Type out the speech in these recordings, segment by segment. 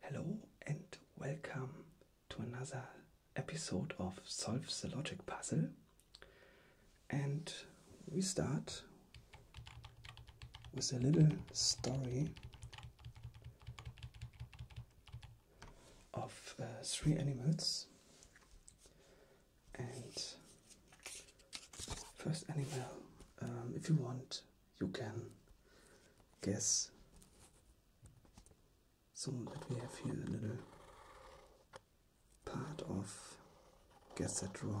Hello and welcome to another episode of Solve the Logic Puzzle. And we start with a little story of uh, three animals. And first animal, um, if you want, you can guess. So that we have here a little part of guess that draw.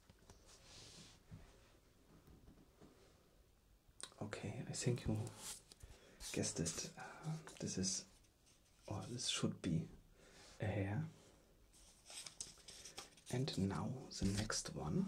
Okay, I think you guessed it. Uh, this is, or this should be, a hair. And now the next one.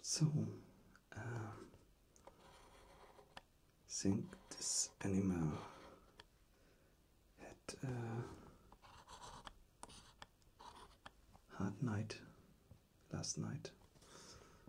So, think um, this animal had a hard night last night.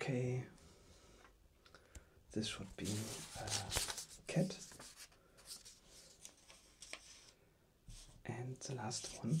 Okay, this would be a uh, cat. And the last one.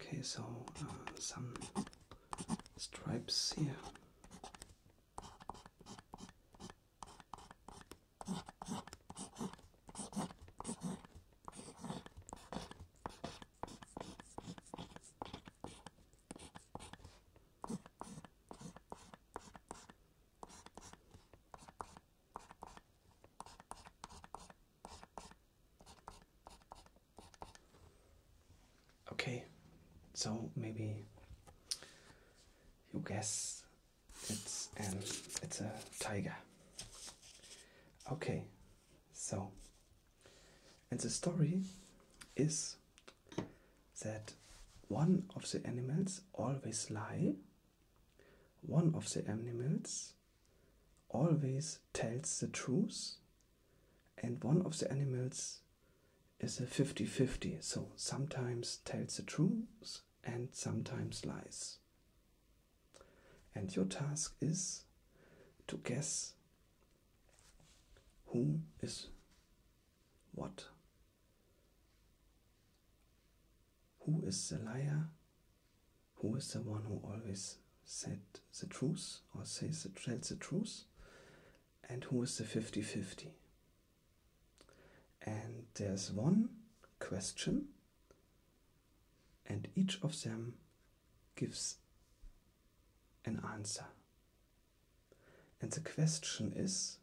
Okay, so uh, some stripes here. Okay, so maybe you guess it's an it's a tiger. Okay, so and the story is that one of the animals always lie. One of the animals always tells the truth, and one of the animals is a 50 50, so sometimes tells the truth and sometimes lies. And your task is to guess who is what. Who is the liar who is the one who always said the truth or says the, tells the truth and who is the 50-50 and there's one question and each of them gives an answer and the question is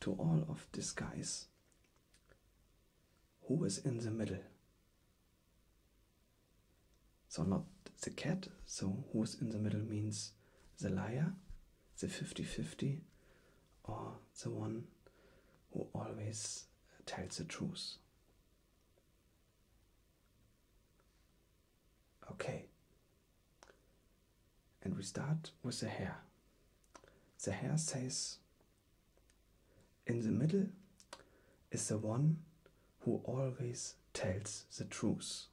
to all of disguise, who is in the middle so not the cat, so who's in the middle means the liar, the 50-50, or the one who always tells the truth. Okay. And we start with the hair. The hair says in the middle is the one who always tells the truth.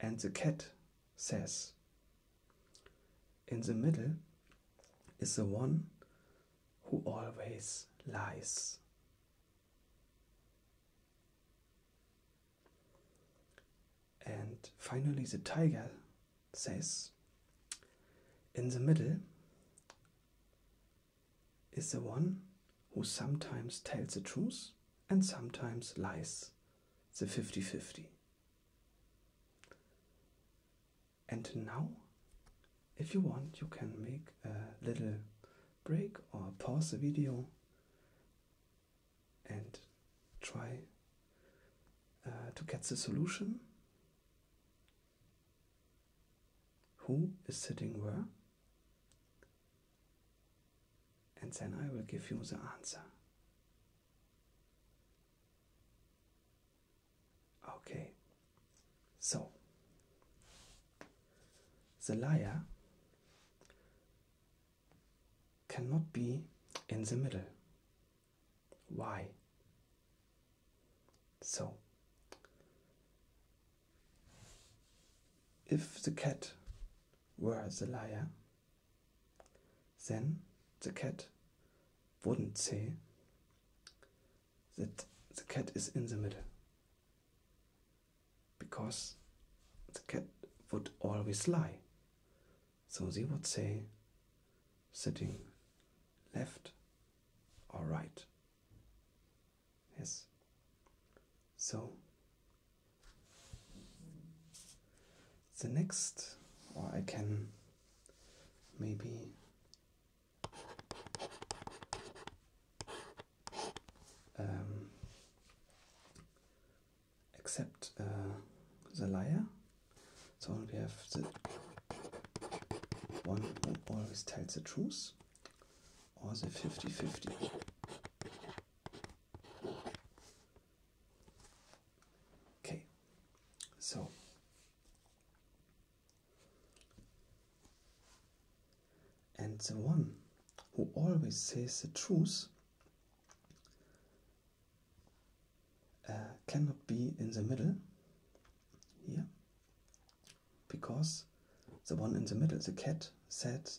And the cat says, In the middle is the one who always lies. And finally, the tiger says, In the middle is the one who sometimes tells the truth and sometimes lies, the 50 50. And now, if you want, you can make a little break or pause the video and try uh, to get the solution? Who is sitting where? And then I will give you the answer. Okay, so the liar cannot be in the middle. Why? So, if the cat were the liar, then the cat wouldn't say that the cat is in the middle because the cat would always lie so they would say sitting left or right. Yes. So the next, or I can maybe um, accept uh, the liar so we have the one who always tells the truth or the 50-50. Okay, so and the one who always says the truth uh, cannot be in the middle here because the one in the middle, the cat, said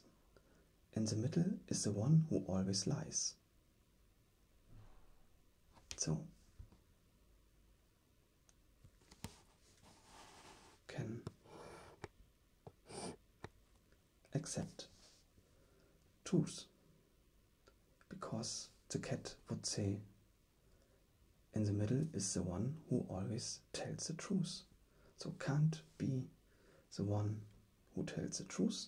in the middle is the one who always lies. So can accept truth because the cat would say in the middle is the one who always tells the truth. So can't be the one who tells the truth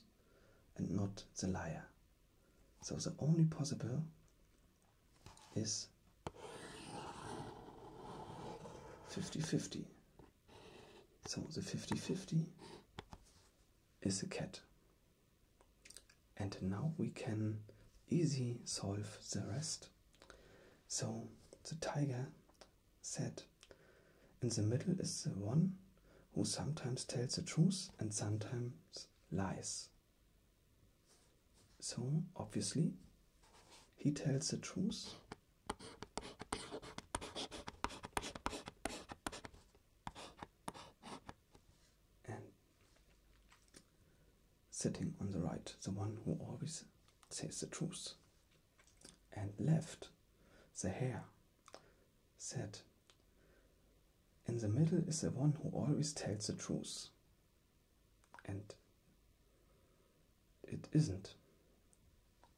and not the liar. So the only possible is 50 50. So the 50 50 is a cat and now we can easy solve the rest so the tiger said in the middle is the one who sometimes tells the truth and sometimes lies so obviously he tells the truth sitting on the right, the one who always says the truth, and left, the hare, said, In the middle is the one who always tells the truth, and it isn't.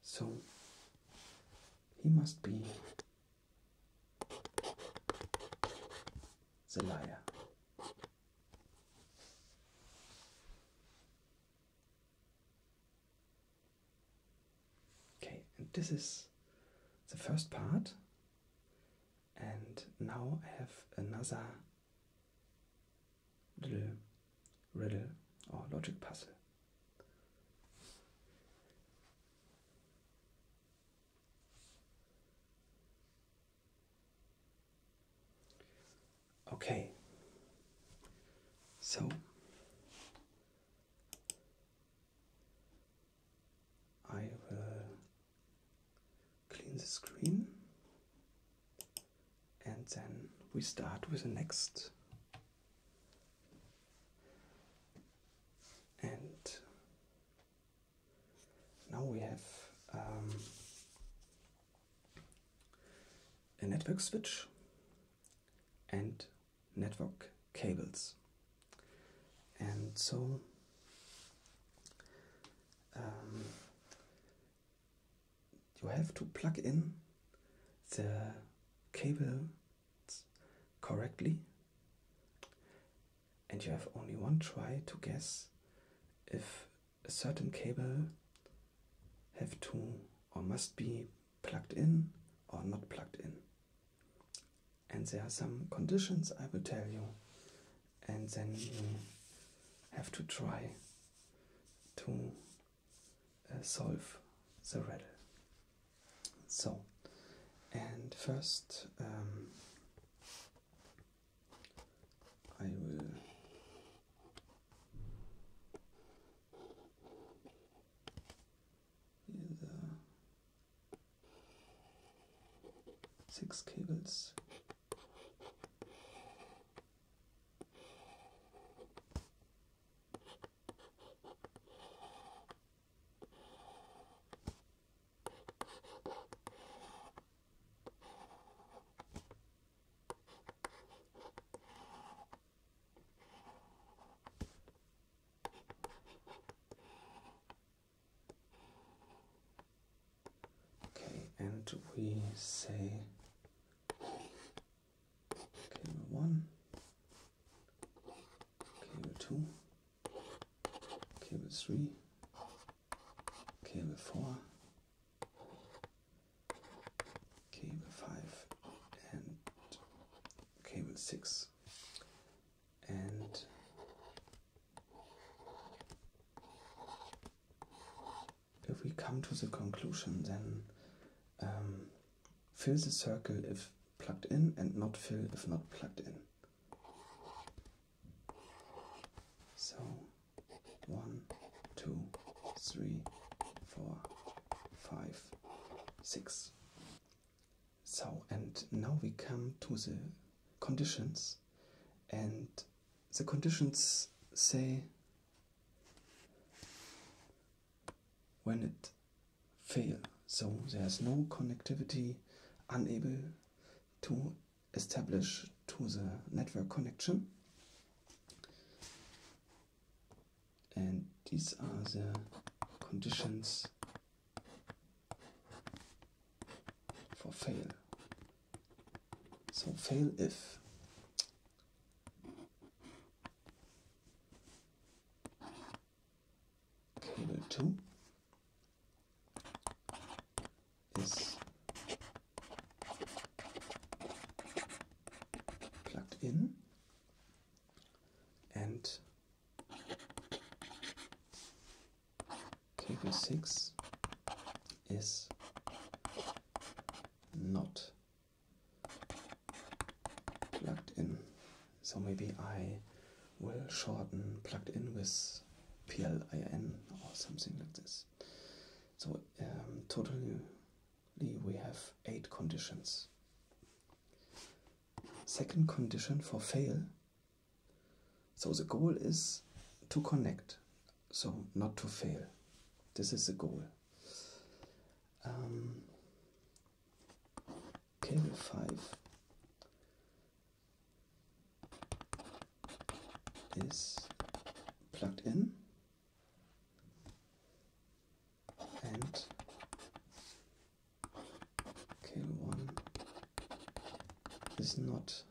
So he must be it's a liar. Okay, and this is the first part, and now I have another little riddle or logic puzzle. Okay, so I will uh, clean the screen and then we start with the next. And now we have um, a network switch and network cables, and so um, you have to plug in the cable correctly and you have only one try to guess if a certain cable have to or must be plugged in or not plugged in. And there are some conditions I will tell you, and then you have to try to uh, solve the riddle. So, and first um, I will either six cables Okay, and we say okay, one, okay, two cable 3, cable 4, cable 5 and cable 6 and if we come to the conclusion then um, fill the circle if plugged in and not fill if not plugged in so one, two, three, four, five, six. So, and now we come to the conditions, and the conditions say when it fails. so there's no connectivity unable to established to the network connection and these are the conditions for fail so fail if cable 2 is plugged in and cable 6 is not plugged in so maybe I will shorten plugged in with PLIN or something like this. So um, totally we have eight conditions. Second condition for fail. So the goal is to connect, so not to fail. This is the goal. Um, cable 5 is plugged in and cable one is not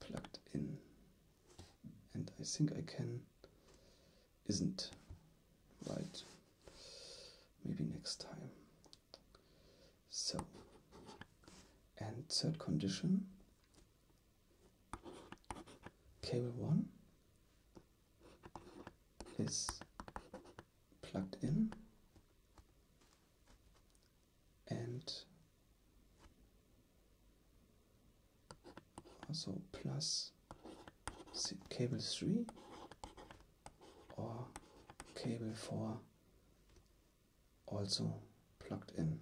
plugged in and I think I can isn't right maybe next time so, and third condition cable 1 is plugged in and also plus cable 3 or cable 4 also plugged in.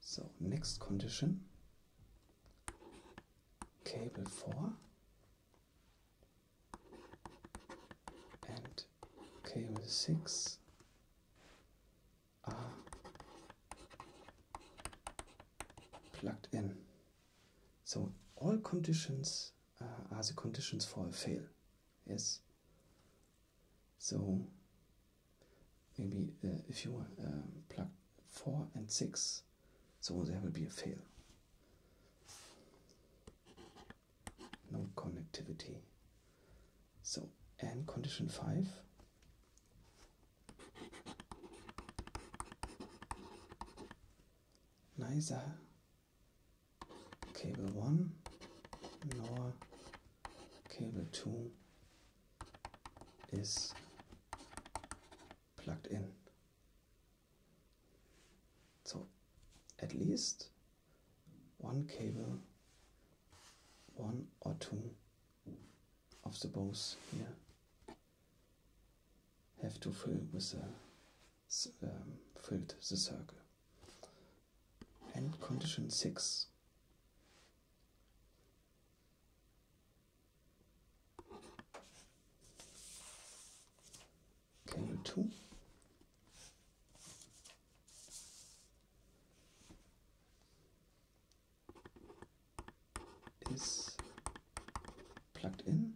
So, next condition, cable 4 and k 6 are ah. plugged in. So all conditions uh, are the conditions for a fail. Yes. So maybe uh, if you um, plug 4 and 6, so there will be a fail. No connectivity. So, and condition 5. Neither cable 1 nor cable 2 is plugged in. So, at least one cable, one or two of the bows here have to fill with the um, filled the circle. And condition six cable two is plugged in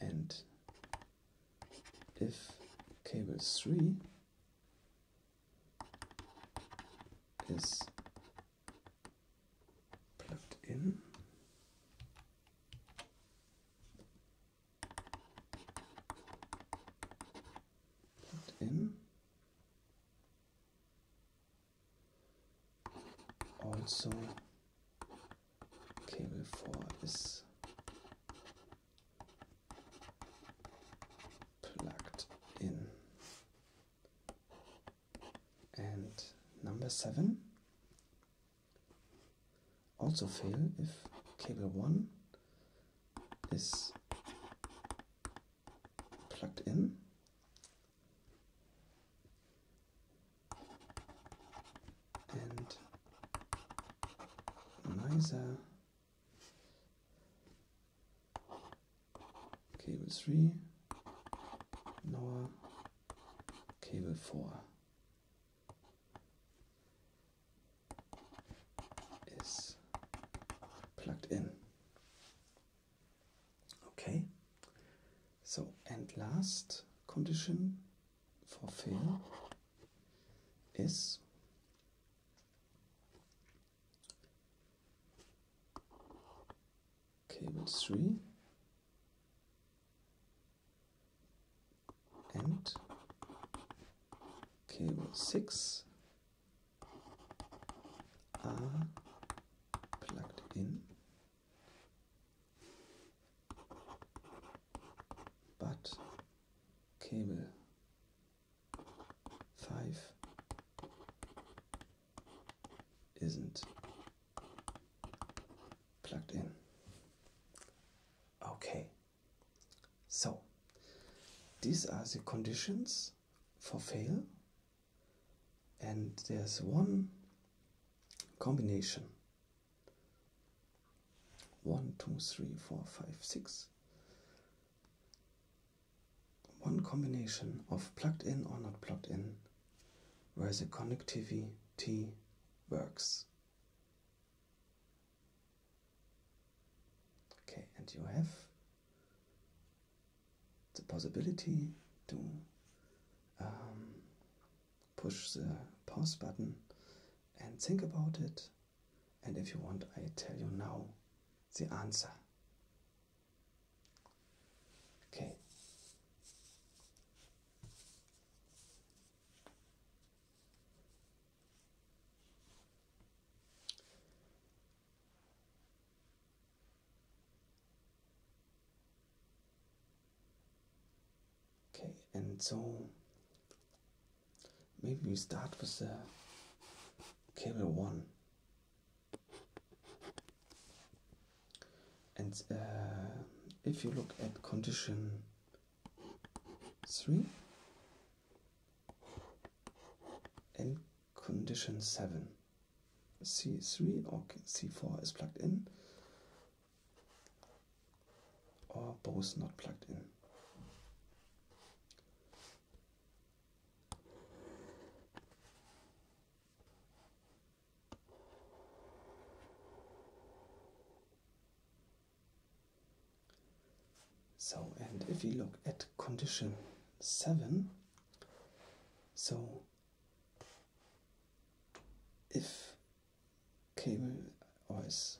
and if cable 3 is plugged in and in also cable 4 is plugged in and number 7 also fail if cable 1 is plugged in. And neither cable 3 nor cable 4 is plugged in. Okay, so and last condition for fail is cable 3 and cable 6 are plugged in but cable 5 isn't plugged in. Okay, so these are the conditions for fail, and there's one combination. One, two, three, four, five, six. One combination of plugged in or not plugged in where the connectivity T works. Okay, and you have the possibility to um, push the pause button and think about it. And if you want, I tell you now the answer. Okay. Okay, and so maybe we start with the cable one and uh, if you look at condition three and condition seven. C3 or C4 is plugged in, or both not plugged in. So, and if we look at condition 7, so if cable or is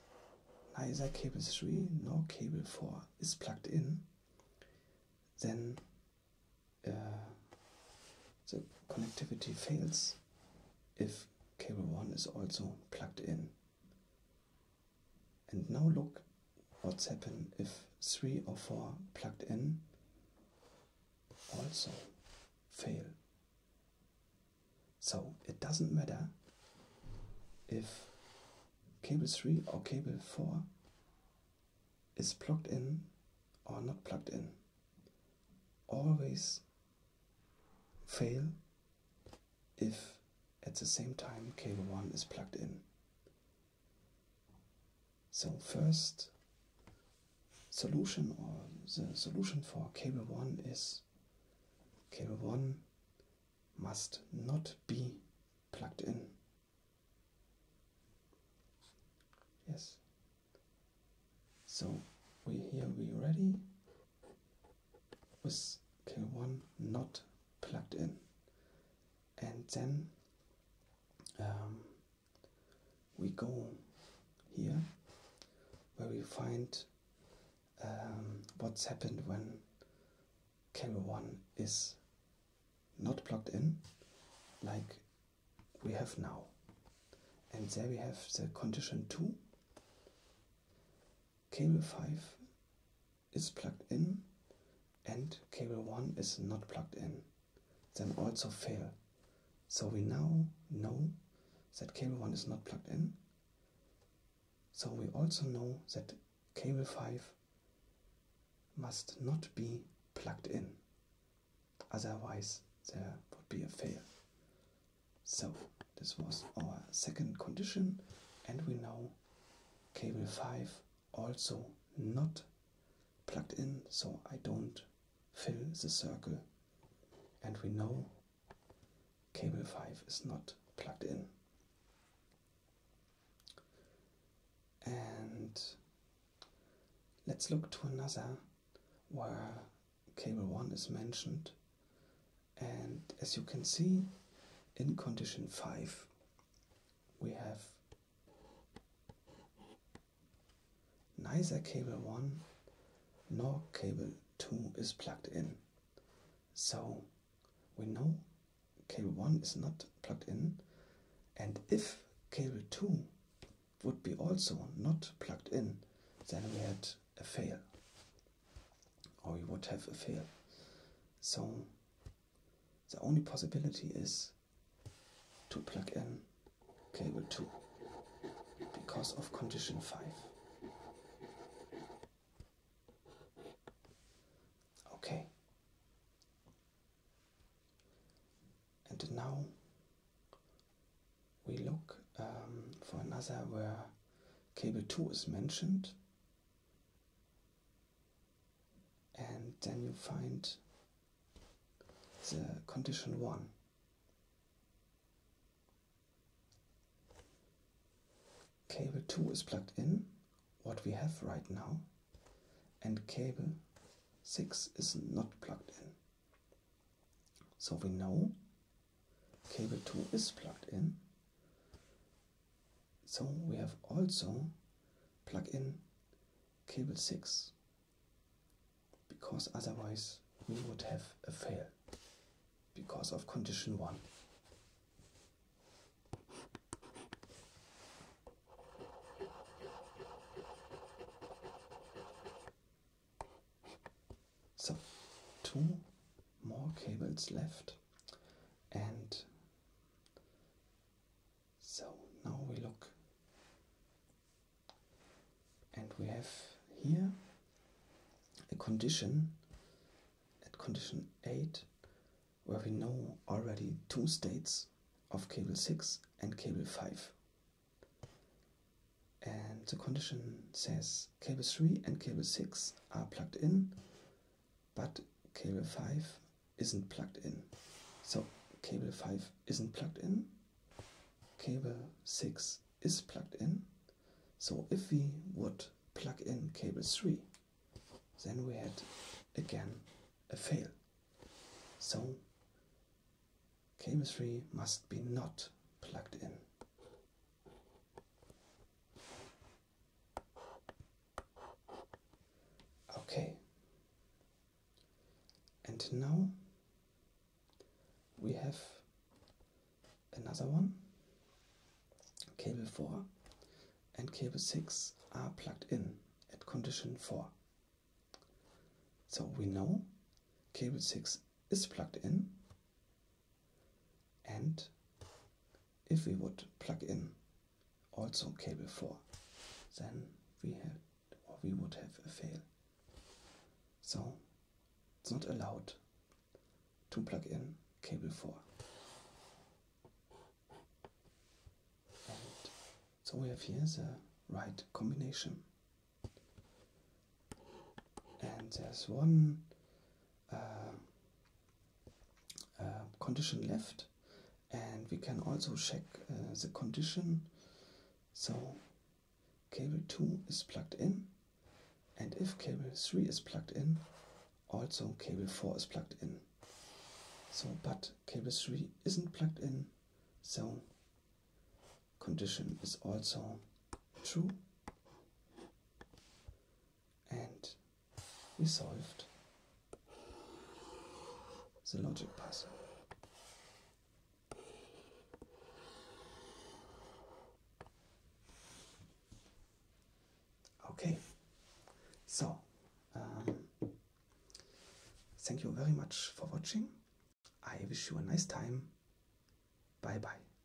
neither cable 3 nor cable 4 is plugged in, then uh, the connectivity fails if cable 1 is also plugged in. And now look what's happened if 3 or 4 plugged in also fail. So it doesn't matter if cable 3 or cable 4 is plugged in or not plugged in. Always fail if at the same time cable 1 is plugged in. So first solution or the solution for cable 1 is cable 1 must not be plugged in. Yes, so we here we ready with K1 not plugged in and then um, we go here where we find um, what's happened when cable 1 is not plugged in like we have now and there we have the condition 2 Cable 5 is plugged in and cable 1 is not plugged in, then also fail. So we now know that cable 1 is not plugged in. So we also know that cable 5 must not be plugged in, otherwise there would be a fail. So this was our second condition and we know cable 5 also not plugged in so I don't fill the circle and we know cable 5 is not plugged in. And let's look to another where cable 1 is mentioned and as you can see in condition 5 we have neither cable 1 nor cable 2 is plugged in so we know cable 1 is not plugged in and if cable 2 would be also not plugged in then we had a fail or you would have a fail. So the only possibility is to plug in cable 2 because of condition 5. Okay. And now we look um, for another where cable 2 is mentioned and then you find the condition 1 cable 2 is plugged in what we have right now and cable 6 is not plugged in so we know cable 2 is plugged in so we have also plugged in cable 6 because otherwise we would have a fail because of condition 1 so, two more cables left, and so now we look, and we have here a condition at condition 8 where we know already two states of cable 6 and cable 5 and the condition says cable 3 and cable 6 are plugged in but cable 5 isn't plugged in. So cable 5 isn't plugged in, cable 6 is plugged in. So if we would plug in cable 3, then we had again a fail. So cable 3 must be not plugged in. Okay, and now we have another one. Cable 4 and cable 6 are plugged in at condition 4. So we know cable 6 is plugged in and if we would plug in also cable 4 then we we would have a fail so it's not allowed to plug in cable 4 so we have here the right combination and there's one uh, uh, condition left and we can also check uh, the condition so cable 2 is plugged in and if cable 3 is plugged in also cable 4 is plugged in so but cable 3 isn't plugged in so condition is also true and we solved the logic puzzle. Okay, so um, thank you very much for watching. I wish you a nice time. Bye bye.